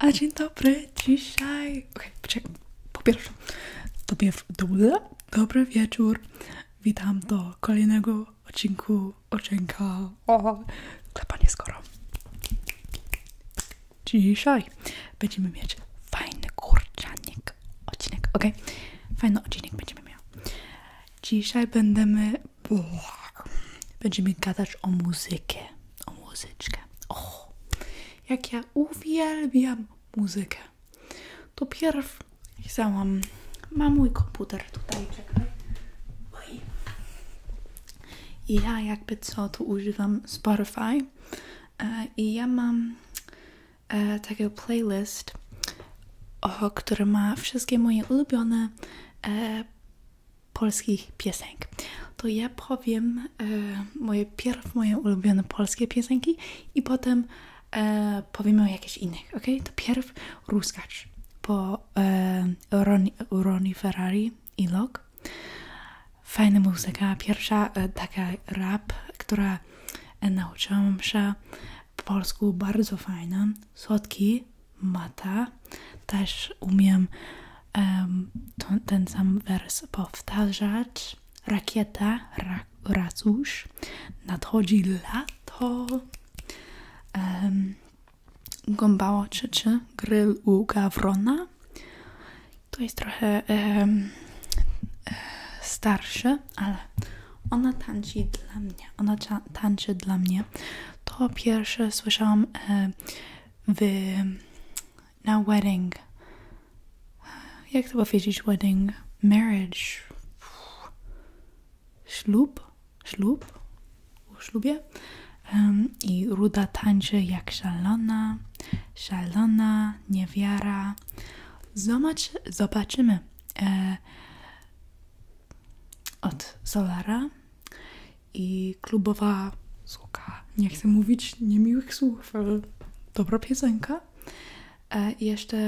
A dzień dobry, dzisiaj. Okej, okay, po pierwsze, dobry, dobry wieczór. Witam do kolejnego odcinku Oczynka. O, klepanie skoro. Dzisiaj będziemy mieć fajny kurczanik odcinek, ok? Fajny odcinek będziemy miał. Dzisiaj będziemy. Będziemy gadać o muzykę o muzyczkę. O, jak ja uwielbiam muzykę. To pierw chciałam. Mam mój komputer tutaj, czekaj. Oj. Ja jakby co, tu używam Spotify e, i ja mam e, takiego playlist, który ma wszystkie moje ulubione e, polskich piosenek, to ja powiem e, moje pierw moje ulubione polskie piosenki i potem e, powiem o jakichś innych, ok? To pierw Ruskacz po e, Ronnie Ferrari i Lok. Fajna muzyka, pierwsza e, taka rap, która e, nauczyłam się po polsku, bardzo fajna, słodki, mata. Też umiem ten, sam wers powtarzać. Rakieta, ra, racusz. Nadchodzi lato. Um, Gąbała trzeczy, u gawrona. To jest trochę um, starsze, ale ona tanci dla Ona tańczy dla mnie to pierwsze słyszałam e, w, na wedding. Jak to powiedzieć wedding? Marriage. Ślub? Ślub? O ślubie? I Ruda tańczy jak szalona, szalona, niewiara. Zobacz, zobaczymy. E, od Solara i klubowa słuka. Nie chcę mówić niemiłych słów, ale dobra piosenka. E, I jeszcze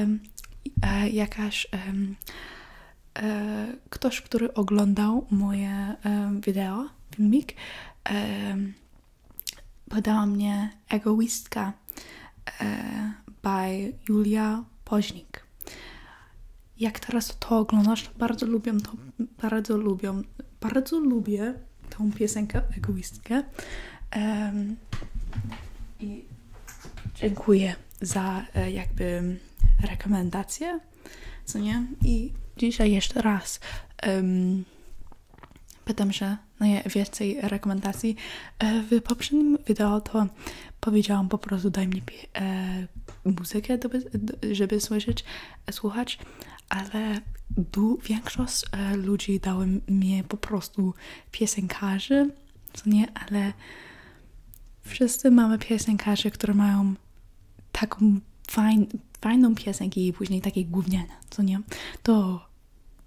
e, jakaś e, ktoś, który oglądał moje wideo, filmik, podała mnie Egoistka by Julia Poźnik. Tak. Jak teraz to oglądasz, bardzo lubię to, bardzo lubię, bardzo lubię tą piosenkę egoistkę. I dziękuję za e, jakby rekomendację, co nie? I dzisiaj jeszcze raz um, pytam się najwięcej rekomendacji. E, w poprzednim wideo powiedziałam po prostu daj mi e, muzykę, do, żeby e, słuchać, ale du, większość e, ludzi dały mi po prostu piosenkarzy, co nie, ale wszyscy mamy piosenkarzy, które mają taką fajną piosenkę i później takie gówniane, co nie, to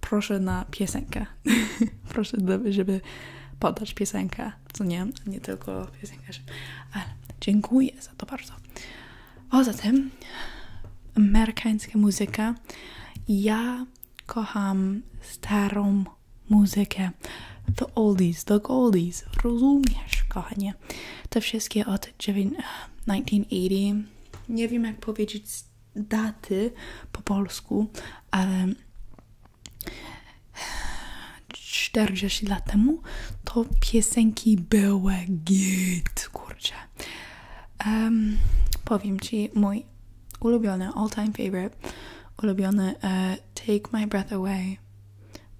proszę na piosenkę, proszę, żeby podać piosenkę co nie? Nie tylko piosenkarzem, ale dziękuję za to bardzo. Poza tym, amerykańska muzyka. Ja kocham starą muzykę. The oldies, the goldies. Rozumiesz, kochanie? Te wszystkie od 1980. Nie wiem, jak powiedzieć daty po polsku, ale 40 lat temu to piosenki były git, kurczę. powiem Ci mój ulubiony, all time favorite, ulubiony e, Take My Breath Away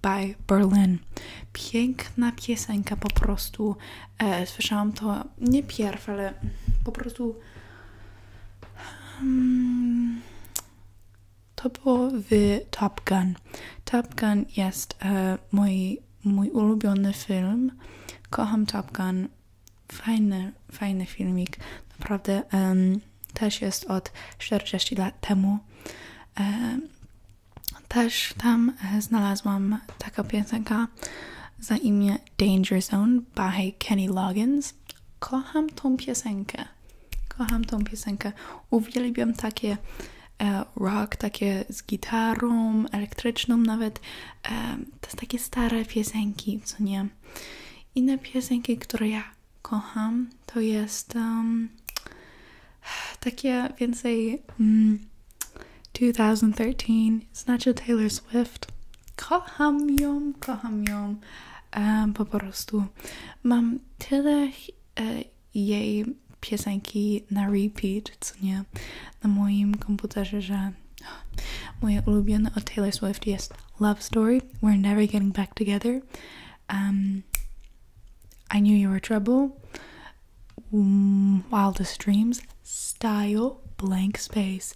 by Berlin. Piękna piosenka po prostu. E, słyszałam to nie pierw, ale po prostu Hmm, to było w Top Gun. Top Gun jest e, mój, mój ulubiony film. Kocham Top Gun. Fajny, fajny filmik. Naprawdę też jest od 40 lat temu. E, też tam e, znalazłam taką piosenka za imię Danger Zone by Kenny Loggins kocham tą piosenkę. Kocham tą piosenkę. Uwielbiam takie e, rock, takie z gitarą, elektryczną nawet. E, to są takie stare piosenki, co nie. I Inne piosenki, które ja kocham, to jest takie więcej 2013, mm, znaczy Taylor Swift. kocham yom, kocham yom. Um, po prostu mam tyle e, jej piosenki na repeat, co nie, na moim komputerze, że moje ulubione od Taylor Swift jest Love Story, We're Never Getting Back Together, I Knew You Were Trouble, Wildest Dreams, Style, Blank Space,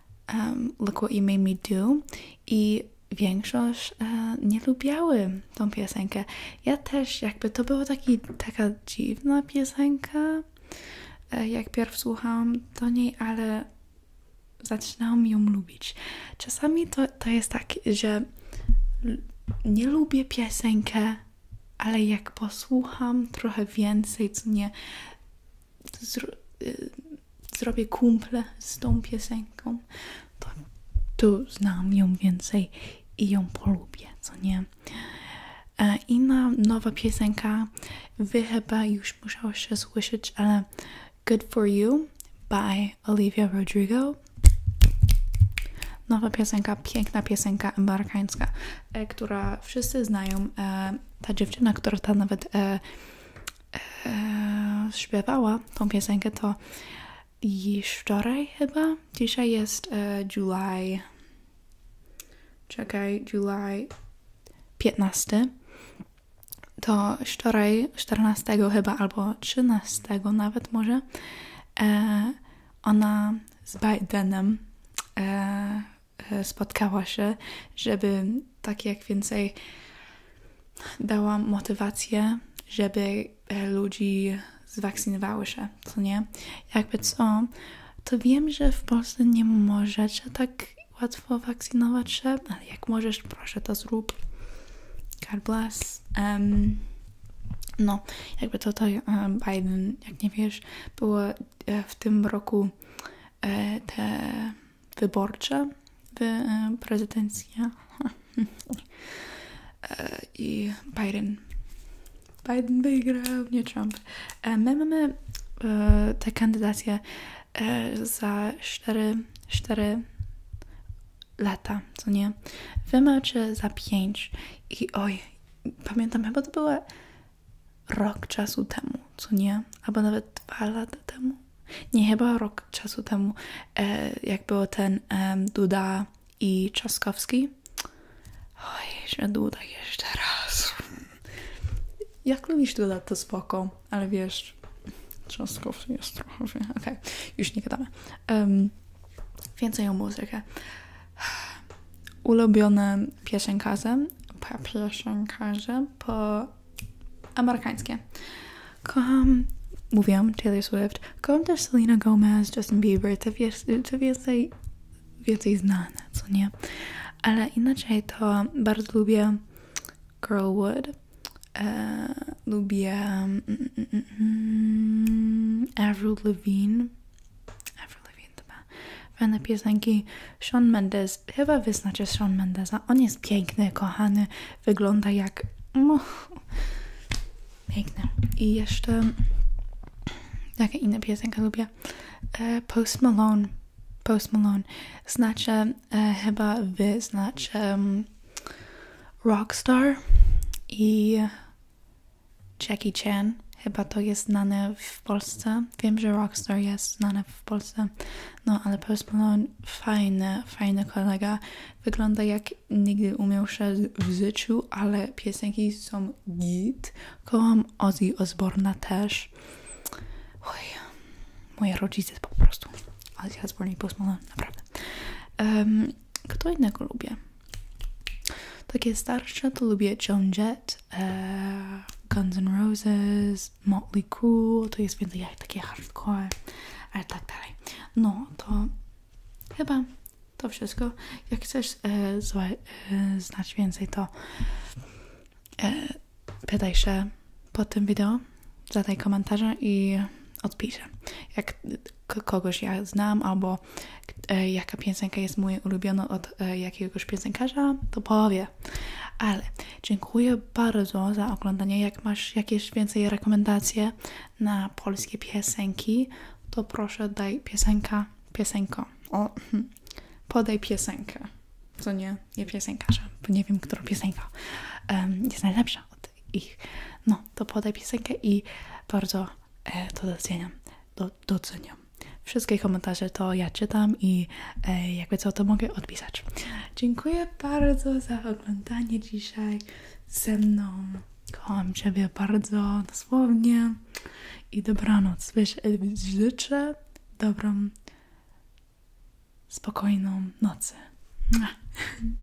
Look What You Made Me Do i większość e, nie lubiały tą piosenkę. Ja też jakby to była taka dziwna piosenka, e, jak pierw słuchałam do niej, ale zaczynałam ją lubić. Czasami to, jest tak, że nie lubię piosenkę, ale jak posłucham trochę więcej, co nie zro y, zrobię kumple z tą piosenką, to, to znam ją więcej i ją polubię, co nie? E, inna nowa piosenka, wy chyba już musiałeś słyszeć, ale Good For You by Olivia Rodrigo. Nowa piosenka, piękna piosenka amerykańska. E, która wszyscy znają. E, ta dziewczyna, która ta nawet e, śpiewała tą piosenkę, to i wczoraj chyba. Dzisiaj jest e, Czekaj, July 15. To wczoraj, 14 chyba, albo 13 nawet może, ona z Bidenem E, spotkała się, żeby tak jak więcej dała motywację, żeby e, ludzi zwakscynowały się, co nie? Jakby co, to wiem, że w Polsce nie możecie tak łatwo wakcynować się, ale jak możesz, proszę to zrób. God bless. no, jakby to, to e, Biden, jak nie wiesz, było E, w tym roku e, te wyborcze, e, prezydencja I Biden. Biden wygrał, nie Trump. My mamy te kandydacje za 4, 4 lata, co nie? Wy za 5 i oj, pamiętam, chyba to była rok czasu temu, co nie? Albo nawet dwa lata temu. Nie, chyba rok czasu temu, e, jak było ten Duda i Trzaskowski. Oj, że Duda jeszcze raz. Jak lubisz Duda, to spoko, ale wiesz, Trzaskowski jest trochę... Okej, już nie gadamy. Um, więcej o muzykę ulubione piosenkarze, piosenkarze po amerykańskie. Kocham, mówiłam, Taylor Swift, kocham też Selena Gomez, Justin Bieber, te, wie, te więcej, więcej znane, co nie? Ale inaczej to bardzo lubię Girl Wood, e, lubię mm, mm, mm, Avril Lavigne, Ever Fajne piosenki Sean Mendes. Chyba wyznacie Sean Mendesa. On jest piękny, kochany. Wygląda jak... No, piękny. I jeszcze... Jakie inne piosenki lubię? E, Post Malone. Post Malone. Znaczy, e, chyba wy mm, Rockstar i Jackie Chan. Chyba to jest znane w Polsce. Wiem, że Rockstar jest znane w Polsce. No, ale Post Malone fajny, fajny kolega. Wygląda jak nigdy umiał się w życiu, ale piosenki są git. Kołam Ozzy Osborna też. Oj, moje rodzice po prostu. Ozzy Osborne i naprawdę kto innego lubię? Takie starsze to lubię Joan Jett, e, Guns N' Roses, Motley Crue, to jest więcej jak takie hardcore, ale tak dalej. No to chyba to wszystko. Jak chcesz e, e, znać więcej, to e, pytaj się pod tym video, zadaj komentarze i odpisz kogoś ja znam, albo e, jaka piosenka jest moją ulubioną od e, jakiegoś piosenkarza, to powiem. Ale dziękuję bardzo za oglądanie. Jak masz jakieś więcej rekomendacje na polskie piosenki, to proszę daj piosenka, piosenko. Hmm, podaj piosenkę. Co nie, nie piosenkarza, bo nie wiem, która piosenka um, jest najlepsza ich. No, to podaj piosenkę i bardzo e, to doceniam. Do, doceniam. Wszystkie komentarze to ja czytam i e, jakby co to mogę odpisać. Dziękuję bardzo za oglądanie dzisiaj ze mną. Kocham Ciebie bardzo dosłownie i dobranoc. Wiesz, e, życzę dobrą, spokojną nocy.